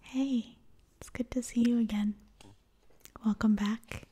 Hey, it's good to see you again. Welcome back.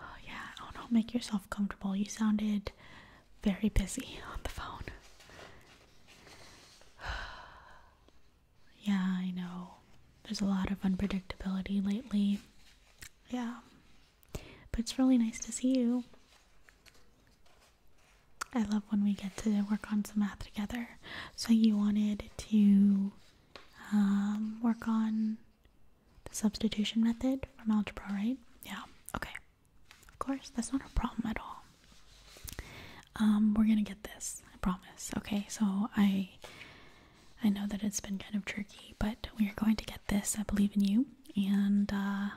Oh, yeah. Oh, no, make yourself comfortable. You sounded very busy on the phone. yeah, I know. There's a lot of unpredictability lately. Yeah. But it's really nice to see you. I love when we get to work on some math together. So you wanted to um, work on the substitution method from algebra, right? Yeah. Okay. Of course, that's not a problem at all. Um, we're gonna get this. I promise. Okay. So I, I know that it's been kind of tricky, but we are going to get this. I believe in you, and uh,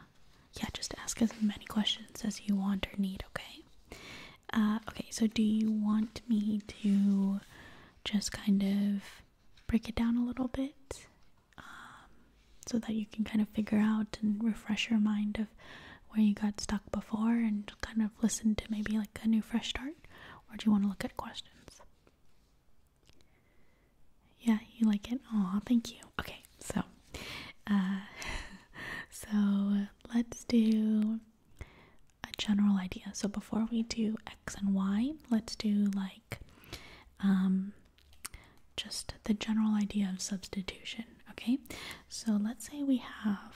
yeah, just ask as many questions as you want or need, okay? Uh, okay, so do you want me to just kind of break it down a little bit um, so that you can kind of figure out and refresh your mind of where you got stuck before and kind of listen to maybe like a new fresh start? Or do you want to look at questions? Yeah, you like it? Oh, thank you. Okay, so uh, so let's do a general idea. So before we do x and y, let's do like um, just the general idea of substitution, okay? So let's say we have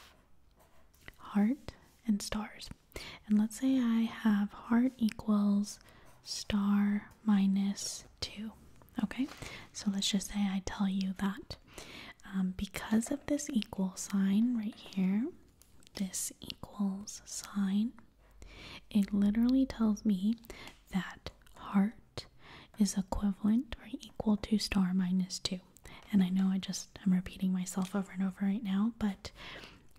heart and stars. And let's say I have heart equals star minus Two, Okay, so let's just say I tell you that um, because of this equal sign right here, this equals sign, it literally tells me that heart is equivalent or equal to star minus 2. And I know I just am repeating myself over and over right now, but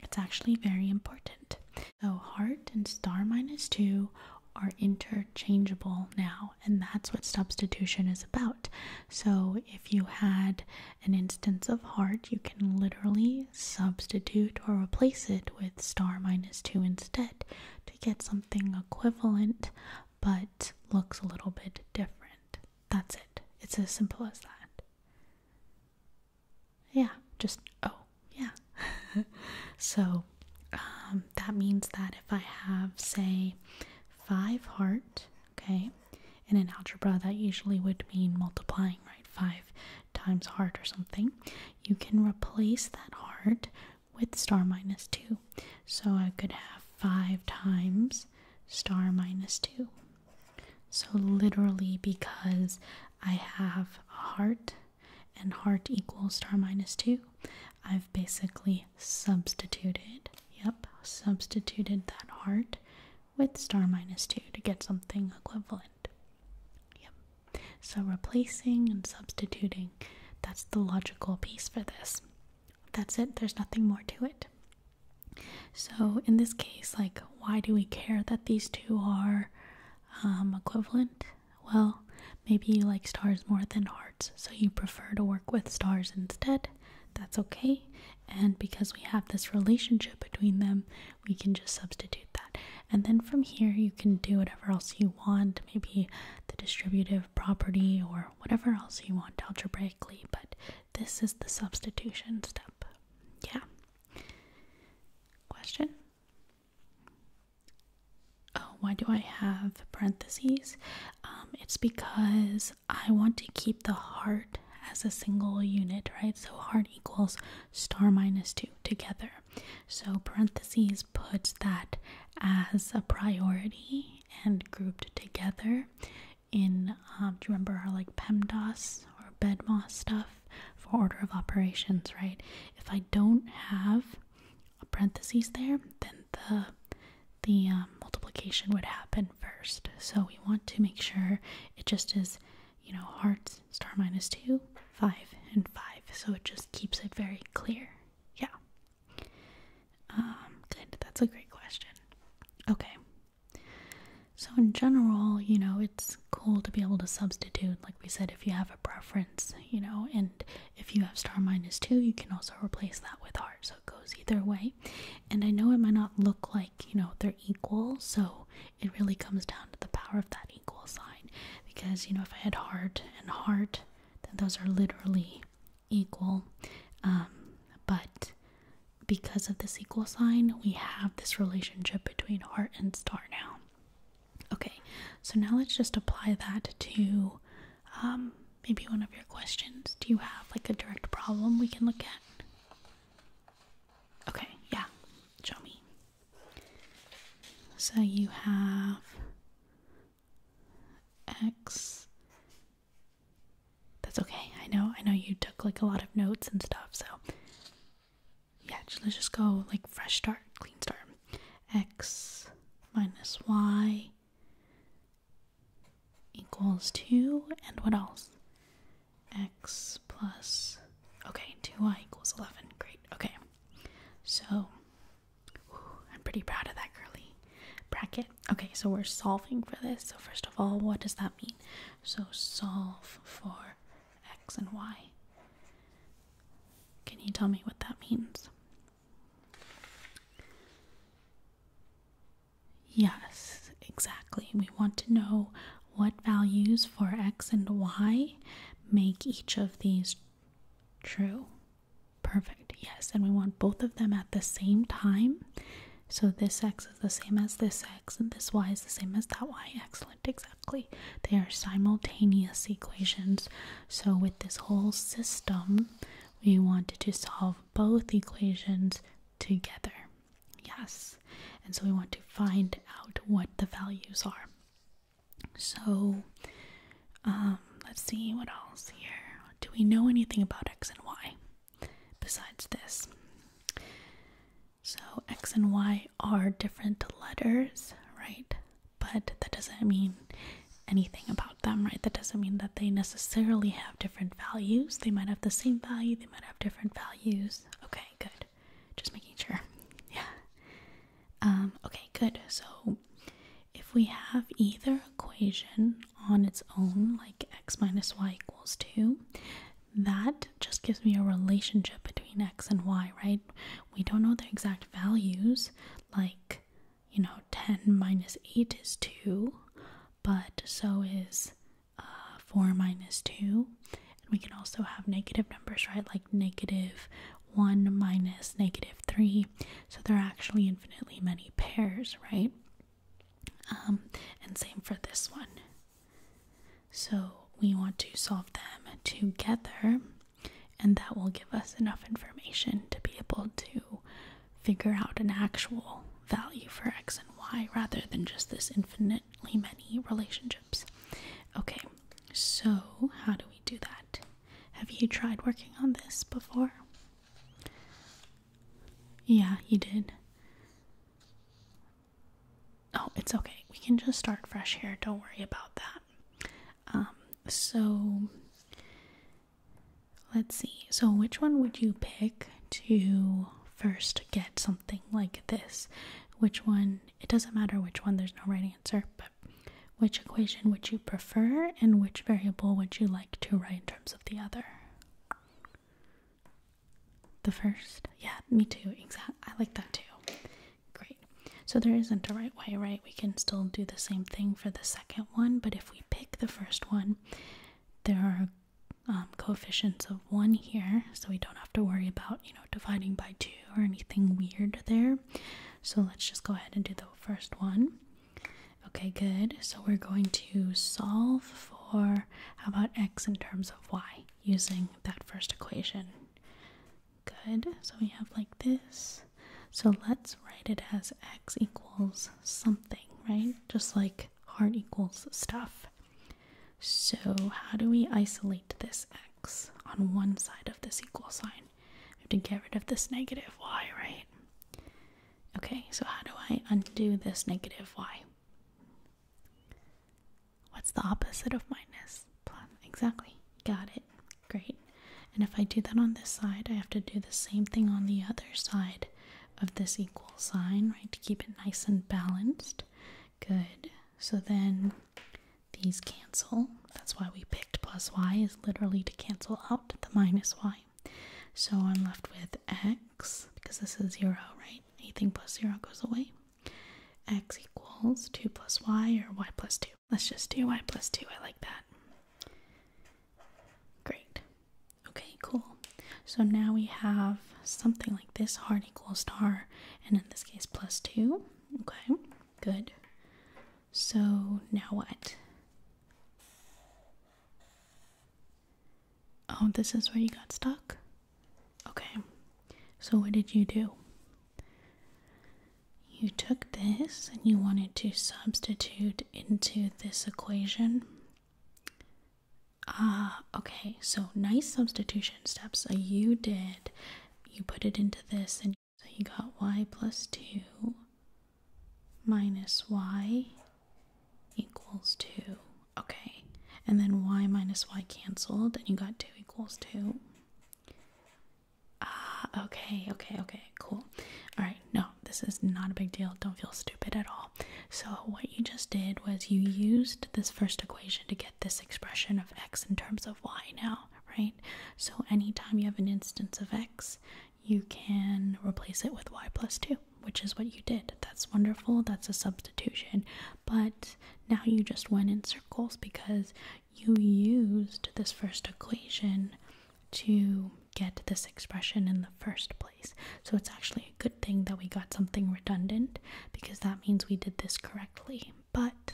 it's actually very important. So, heart and star minus 2 are interchangeable now, and that's what substitution is about. So, if you had an instance of heart, you can literally substitute or replace it with star minus 2 instead to get something equivalent but looks a little bit different. That's it, it's as simple as that. Yeah, just oh, yeah. so um, that means that if I have, say, five heart, okay, in an algebra that usually would mean multiplying, right? Five times heart or something, you can replace that heart with star minus two. So I could have five times star minus two. So literally, because I have a heart and heart equals star minus 2, I've basically substituted, yep, substituted that heart with star minus 2 to get something equivalent. Yep. So replacing and substituting, that's the logical piece for this. That's it, there's nothing more to it. So in this case, like, why do we care that these two are um, equivalent? Well, maybe you like stars more than hearts, so you prefer to work with stars instead. That's okay. And because we have this relationship between them, we can just substitute that. And then from here, you can do whatever else you want, maybe the distributive property or whatever else you want algebraically, but this is the substitution step. Yeah. Question? Oh, why do I have parentheses? Um, it's because I want to keep the heart as a single unit, right? So heart equals star minus 2 together. So parentheses puts that as a priority and grouped together in, um, do you remember our like PEMDAS or BEDMOS stuff for order of operations, right? if I don't have a parentheses there, then the the um, multiplication would happen first. So we want to make sure it just is, you know, hearts star minus two, five, and five. So it just keeps it very clear. Yeah. Um, good. That's a great question. Okay. So in general, you know, it's cool to be able to substitute, like we said, if you have a preference, you know, and if you have star minus two, you can also replace that with heart, so it goes either way. And I know it might not look like, you know, they're equal, so it really comes down to the power of that equal sign because, you know, if I had heart and heart, then those are literally equal. Um, but because of this equal sign, we have this relationship between heart and star now. Okay, so now let's just apply that to um, maybe one of your questions. Do you have like a direct problem we can look at? Okay, yeah, show me. So you have X. That's okay. I know. I know you took like a lot of notes and stuff, so yeah, let's just go like fresh start, clean start. X minus Y equals 2, and what else? X plus, okay, 2Y equals 11. Great, okay. So, I'm pretty proud of that curly bracket. Okay, so we're solving for this. So, first of all, what does that mean? So, solve for x and y. Can you tell me what that means? Yes, exactly. We want to know what values for x and y make each of these true. Perfect, yes. And we want both of them at the same time. So this x is the same as this x, and this y is the same as that y. Excellent exactly. They are simultaneous equations. So, with this whole system, we wanted to solve both equations together. Yes. And so we want to find out what the values are. So, um, let's see what else here. Do we know anything about x and y besides this? So X and Y are different letters, right? But that doesn't mean anything about them, right? That doesn't mean that they necessarily have different values. They might have the same value, they might have different values. Okay, good. Just making sure. Yeah. Um, okay, good. So if we have either equation on its own, like x minus y equals 2, that just gives me a relationship between x and y, right? We don't know the exact values, like, you know, 10 minus 8 is 2, but so is uh, 4 minus 2. And we can also have negative numbers, right? Like negative 1 minus negative 3. So there are actually infinitely many pairs, right? Um, and same for this one. So we want to solve them together, and that will give us enough information to be able to figure out an actual value for x and y rather than just this infinitely many relationships. Okay, so how do we do that? Have you tried working on this before? Yeah, you did. Oh, it's okay. We can just start fresh here. Don't worry about that. Um, so let's see. So, which one would you pick to first get something like this? Which one? It doesn't matter which one, there's no right answer, but which equation would you prefer and which variable would you like to write in terms of the other? The first? Yeah, me too. Exactly. I like that too. Great. So there isn't a right way, right? We can still do the same thing for the second one, but if we pick the first one, there are um, coefficients of 1 here, so we don't have to worry about, you know, dividing by 2 or anything weird there. So let's just go ahead and do the first one. Okay, good. So we're going to solve for, how about x in terms of y? using that first equation. Good, so we have like this. So let's write it as x equals something, right? Just like heart equals stuff. So, how do we isolate this x on one side of this equal sign? We have to get rid of this negative y, right? Okay, so how do I undo this negative y? What's the opposite of minus? Plus. Exactly. Got it. Great. And if I do that on this side, I have to do the same thing on the other side of this equal sign, right, to keep it nice and balanced. Good. So then these cancel. That's why we picked plus y is literally to cancel out the minus y. So I'm left with x, because this is 0, right? anything plus 0 goes away. x equals 2 plus y or y plus 2. Let's just do y plus 2. I like that. Great. Okay, cool. So now we have something like this, hard equals star, and in this case plus 2. Okay, good. So now what? Oh, this is where you got stuck? Okay. So, what did you do? You took this and you wanted to substitute into this equation. Ah, okay. So, nice substitution steps. So, you did, you put it into this, and so you got y plus 2 minus y equals 2. Okay, and then y minus y canceled, and you got 2 equals 2. Ah, okay, okay, okay, cool. Alright, no, this is not a big deal. Don't feel stupid at all. So, what you just did was you used this first equation to get this expression of x in terms of y now, right? So, anytime you have an instance of x, you can replace it with y plus 2 which is what you did. That's wonderful. That's a substitution. But now you just went in circles because you used this first equation to get this expression in the first place. So it's actually a good thing that we got something redundant because that means we did this correctly. But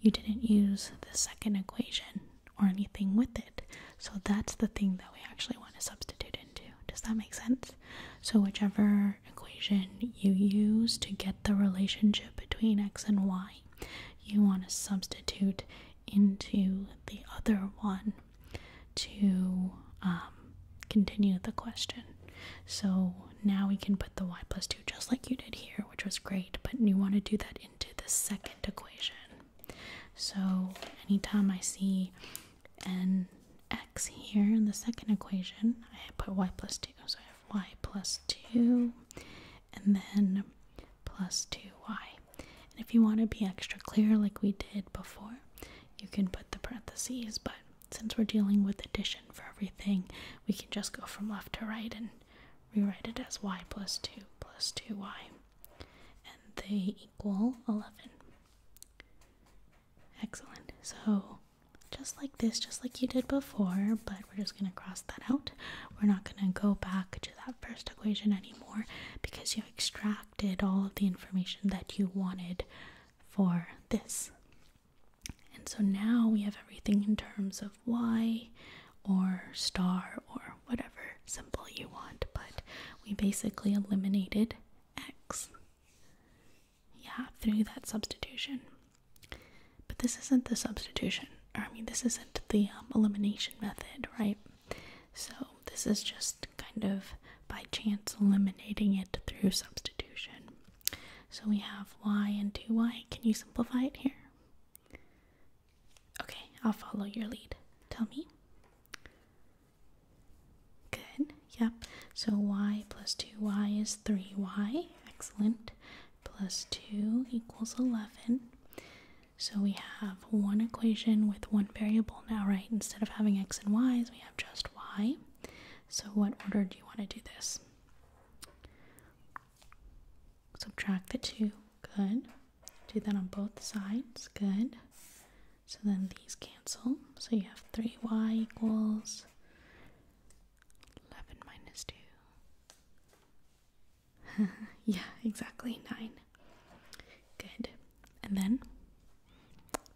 you didn't use the second equation or anything with it. So that's the thing that we actually want to substitute into. Does that make sense? So, whichever equation you use to get the relationship between x and y, you want to substitute into the other one to um, continue the question. So, now we can put the y plus 2 just like you did here, which was great, but you want to do that into the second equation. So, anytime I see n x here in the second equation. I put y plus 2, so I have y plus 2 and then plus 2y. And if you want to be extra clear like we did before, you can put the parentheses, but since we're dealing with addition for everything, we can just go from left to right and rewrite it as y plus 2 plus 2y. And they equal 11. Excellent. So, just like this, just like you did before, but we're just going to cross that out. We're not going to go back to that first equation anymore because you extracted all of the information that you wanted for this. And so now we have everything in terms of y or star or whatever symbol you want, but we basically eliminated x. Yeah, through that substitution. But this isn't the substitution, I mean, this isn't the um, elimination method, right? So this is just kind of by chance eliminating it through substitution. So we have y and 2y. Can you simplify it here? Okay, I'll follow your lead. Tell me. Good, yep. So y plus 2y is 3y. Excellent. Plus 2 equals 11. So we have one equation with one variable now, right? Instead of having x and y's, we have just y. So what order do you want to do this? Subtract the 2. Good. Do that on both sides. Good. So then these cancel. So you have 3y equals 11 minus 2. yeah, exactly, 9. Good. And then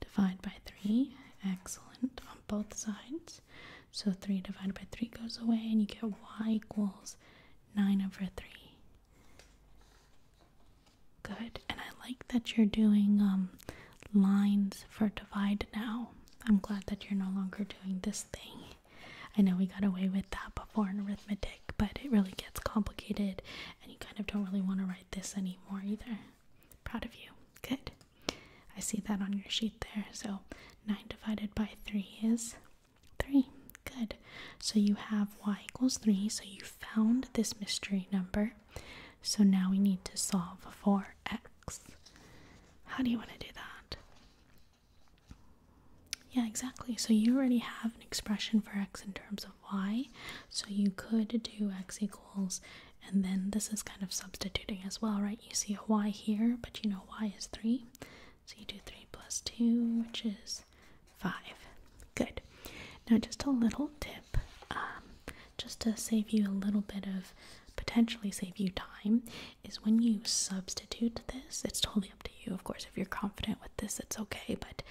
divide by 3. Excellent on both sides. So 3 divided by 3 goes away, and you get y equals 9 over 3. Good. And I like that you're doing um, lines for divide now. I'm glad that you're no longer doing this thing. I know we got away with that before in arithmetic, but it really gets complicated and you kind of don't really want to write this anymore either. Proud of you. Good. I see that on your sheet there. So 9 divided by 3 is 3. Good. So you have y equals 3, so you found this mystery number, so now we need to solve for x. How do you want to do that? Yeah, exactly. So you already have an expression for x in terms of y, so you could do x equals, and then this is kind of substituting as well, right? You see a y here, but you know y is 3, so you do 3 plus 2, which is five. Good. Now, just a little tip, um, just to save you a little bit of potentially save you time, is when you substitute this, it's totally up to you, of course. If you're confident with this, it's okay, but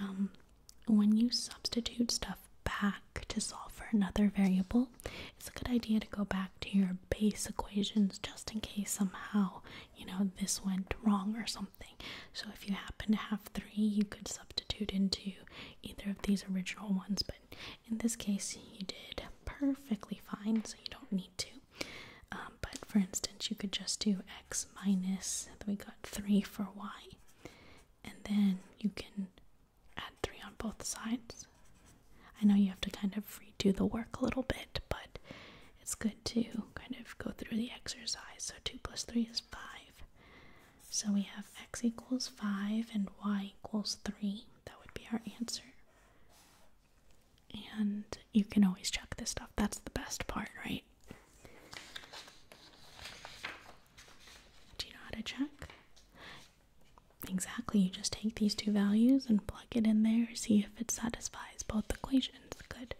um, when you substitute stuff back to solve for another variable, it's a good idea to go back to your base equations just in case somehow you know, this went wrong or something. So if you happen to have three, you could substitute into either of these original ones. But in this case, you did perfectly fine, so you don't need to. Um, but for instance, you could just do x minus, we got 3 for y. And then you can add 3 on both sides. I know you have to kind of redo the work a little bit, but it's good to kind of go through the exercise. So 2 plus 3 is 5. So we have x equals 5 and y equals 3. That would be our answer. And you can always check this stuff. That's the best part, right? Do you know how to check? Exactly. You just take these two values and plug it in there, see if it satisfies both equations. Good.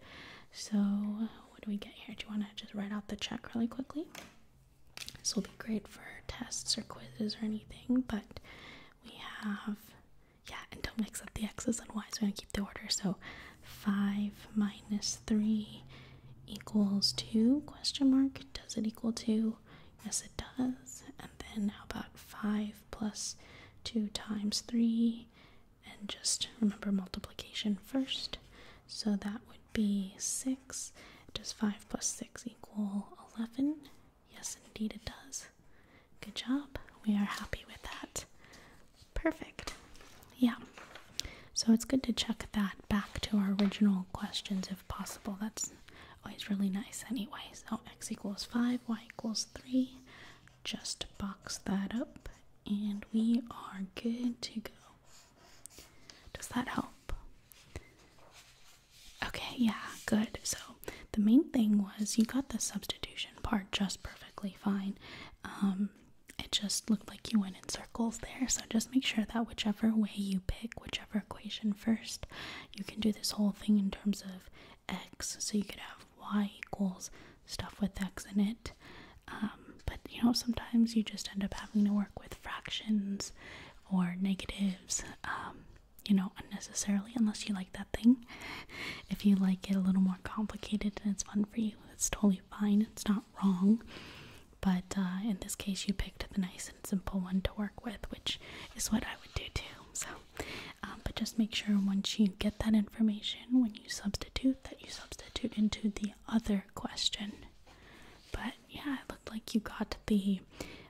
So, what do we get here? Do you want to just write out the check really quickly? This will be great for tests or quizzes or anything, but we have, yeah, and don't mix up the x's and y's. We're going to keep the order. So, 5 minus 3 equals 2 question mark does it equal 2 yes it does and then how about 5 plus 2 times 3 and just remember multiplication first. So that would be 6. Does 5 plus 6 equal 11? Yes, indeed it does. Good job. We are happy with that. Perfect. Yeah. So it's good to check that back to our original questions if possible. That's always really nice anyway. So x equals 5, y equals 3, just box that up and we are good to go. Does that help? Okay, yeah, good. So the main thing was you got the substitution part just perfectly fine. Um, it just looked like you went in circles there, so just make sure that whichever way you pick, whichever equation first, you can do this whole thing in terms of x, so you could have y equals stuff with x in it. Um, but you know, sometimes you just end up having to work with fractions or negatives, um, you know, unnecessarily, unless you like that thing. If you like it a little more complicated and it's fun for you, it's totally fine, it's not wrong. But uh, in this case, you picked the nice and simple one to work with, which is what I would do too. So, um, but just make sure once you get that information, when you substitute, that you substitute into the other question. But yeah, it looked like you got the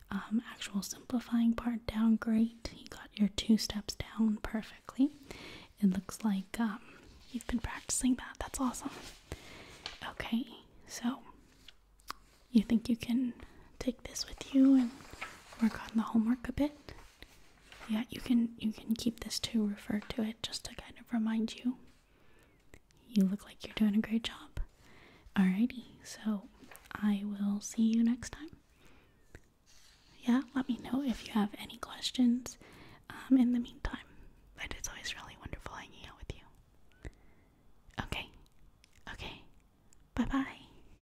um, actual simplifying part down great. You got your two steps down perfectly. It looks like um, you've been practicing that. That's awesome. Okay, so you think you can take this with you and work on the homework a bit? Yeah, you can you can keep this to refer to it just to kind of remind you. You look like you're doing a great job. Alrighty, so I will see you next time. Yeah, let me know if you have any questions. Um, in the meantime, but it's always really wonderful hanging out with you. Okay, okay, bye bye.